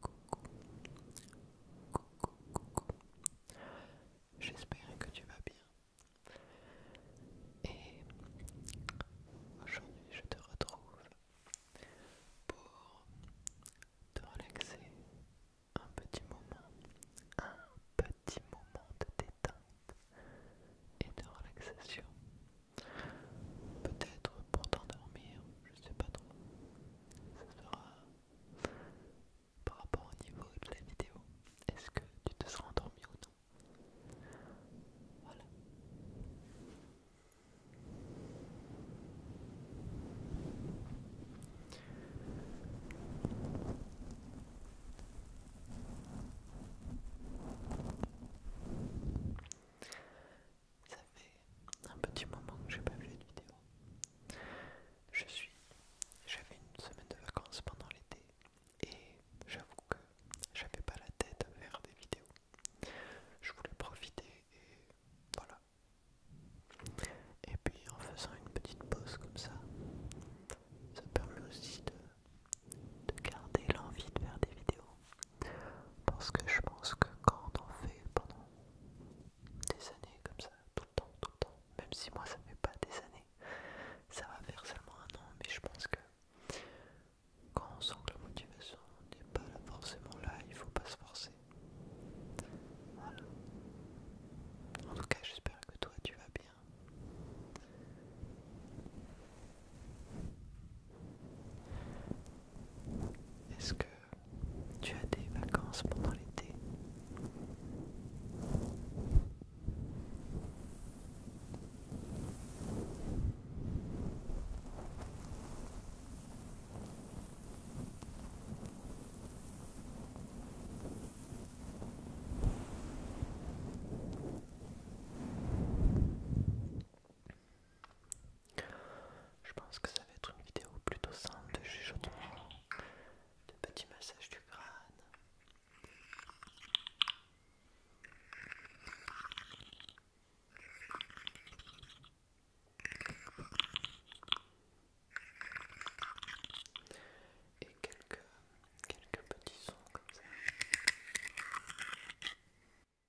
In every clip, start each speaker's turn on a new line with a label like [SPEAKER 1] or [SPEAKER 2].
[SPEAKER 1] Coucou, coucou, coucou. J'espère que tu vas bien. Et aujourd'hui, je te retrouve pour te relaxer un petit moment, un petit moment de détente et de relaxation. Peut-être pour t'endormir, je ne sais pas trop ça sera par rapport au niveau de la vidéo. Est-ce que tu te seras endormi ou non Voilà. Ça fait un petit moment que j'ai pas vu de vidéo. Je suis, j'avais une semaine de vacances pendant l'été et j'avoue que j'avais pas la tête à faire des vidéos. Je voulais profiter et voilà. Et puis en faisant une petite pause comme ça, ça permet aussi de garder l'envie de faire des vidéos parce que je pense que quand on en fait pendant des années comme ça, tout le temps, tout le temps, même si moi ça fait pas des années, ça va faire seulement un an, mais je pense que quand on sent que la motivation n'est pas forcément là, il faut pas se forcer. Voilà. En tout cas, j'espère que toi tu vas bien. Est-ce que tu as des vacances pendant l'été je pense que ça va être une vidéo plutôt simple de chuchotement, de petits massages du crâne.
[SPEAKER 2] Et quelques, quelques petits sons comme ça.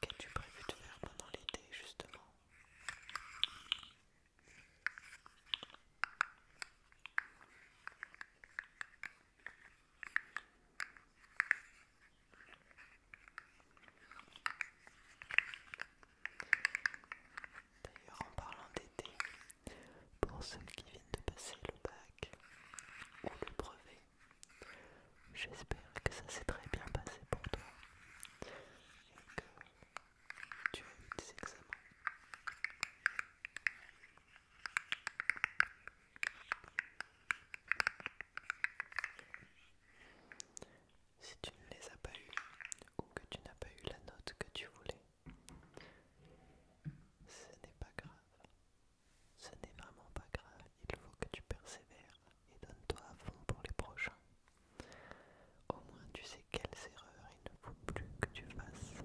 [SPEAKER 2] qu'as-tu prévu de faire pendant l'été justement D'ailleurs en parlant d'été, pour ceux qui viennent de passer le bac, ou le brevet. J'espère que ça s'est très bien passé pour toi et que tu as eu tes examens. Si tu ne les as pas eus ou que tu n'as pas eu la note que tu voulais, ce n'est pas grave. Ce n'est vraiment pas grave, il faut que tu persévères et donne-toi à fond pour les prochains. Au moins tu sais quelles erreurs il ne faut plus que tu fasses.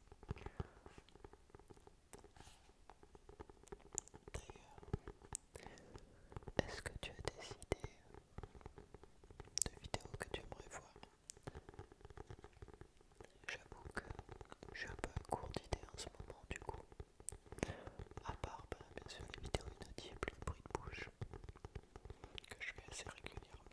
[SPEAKER 2] D'ailleurs, est-ce que tu as des idées de vidéos que tu aimerais voir J'avoue que j'ai suis un peu à court d'idées en ce moment du coup. À part bah, bien sûr les vidéos plus le bruit de bouche, que je fais assez régulièrement.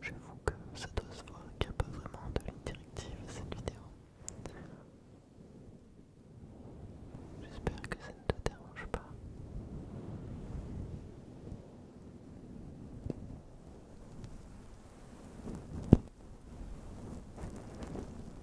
[SPEAKER 2] J'avoue que ça doit se voir qu'il n'y a pas vraiment de directive à cette vidéo. J'espère que ça ne te dérange pas.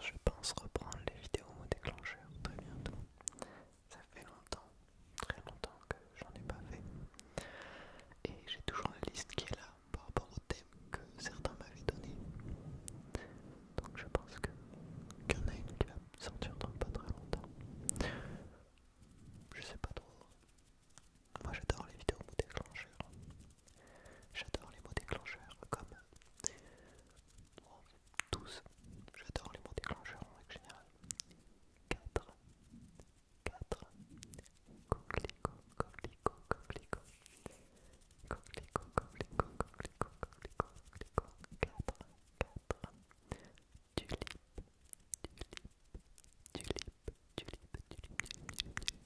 [SPEAKER 2] je pense reprendre les vidéos au très bientôt. Ça fait longtemps, très longtemps que j'en ai pas fait. Et j'ai toujours la liste qui est là par rapport au thème que certains m'avaient donné. Donc je pense qu'il y en a une qui va sortir dans pas très longtemps. Je sais pas trop. Moi j'adore les vidéos déclencheurs. déclencheur. J'adore les mots déclencheurs comme 12. J'adore les mots déclencheurs en règle générale. 4, 4, tulipe, tulipe, tulipe, tulipe,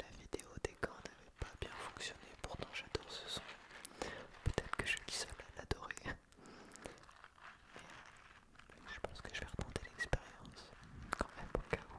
[SPEAKER 1] La vidéo des gants n'avait pas bien fonctionné, pourtant j'adore ce son. Peut-être que je suis seul à l'adorer. Euh, je pense que je vais remonter l'expérience quand même au cas où.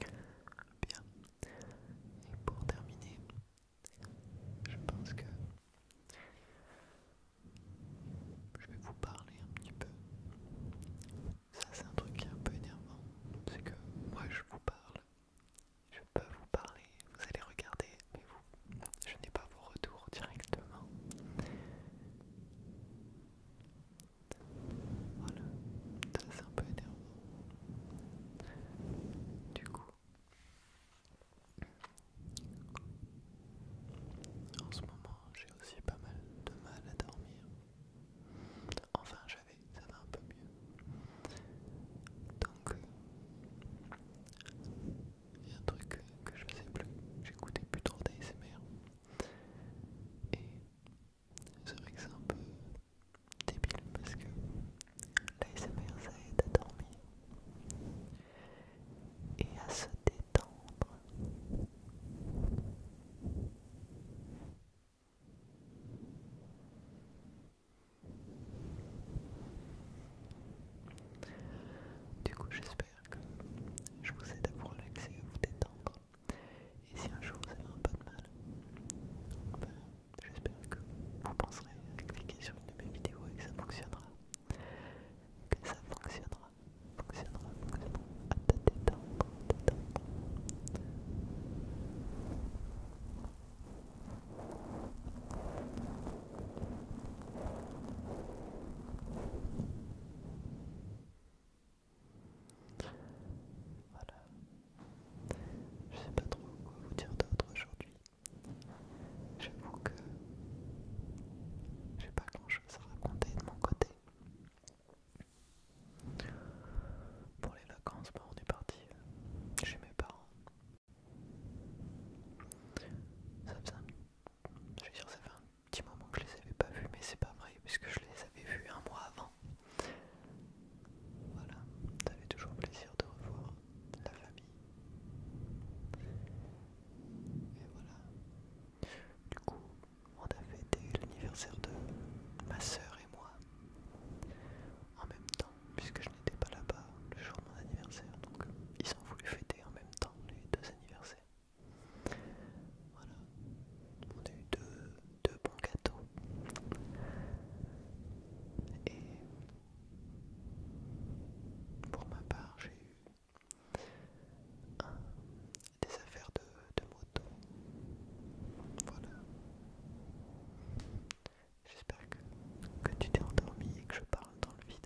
[SPEAKER 1] Bien. Et pour terminer, je pense que je vais vous parler un petit peu. Ça c'est un truc qui est un peu énervant. C'est que moi je vous parle. Je peux vous parler, vous allez regarder, mais vous, je n'ai pas vos retours directement. Voilà, ça c'est un peu énervant. Du coup, en ce moment j'ai aussi pas mal de mal à dormir. Enfin j'avais, ça va un peu mieux. Donc, euh, il y a un truc que je sais plus, j'écoutais plus trop d'ASMR. Et c'est vrai que c'est un peu débile parce que l'ASMR ça aide à dormir et à se détendre. Du coup, j'espère que je vous aide à vous relaxer, à vous détendre. Et si un jour vous avez un peu de mal, ben, j'espère que vous penserez à cliquer sur une de mes vidéos et que ça fonctionnera. Que ça fonctionnera, fonctionnera, fonctionnera. Hein, hein. Voilà. Je sais pas trop quoi vous dire d'autre aujourd'hui. J'avoue que j'ai pas grand chose à raconter de mon côté. Pour les vacances, bah on est parti euh, chez mes parents. Ça je sûre que ça fait un petit moment que je les avais pas vus, mais c'est pas vrai, puisque je les avais vus un mois avant. Voilà, ça fait toujours plaisir de revoir la famille.
[SPEAKER 3] Et voilà. Du coup, on a fêté l'anniversaire de ma sœur et moi en même temps, puisque je n'étais pas là-bas le jour de mon anniversaire, donc ils ont voulu fêter en même temps les deux anniversaires. Voilà, on a eu deux, bons gâteaux. Et pour ma part, j'ai eu des affaires de, moto. Voilà. J'espère que, que tu t'es endormi et que je parle dans le vide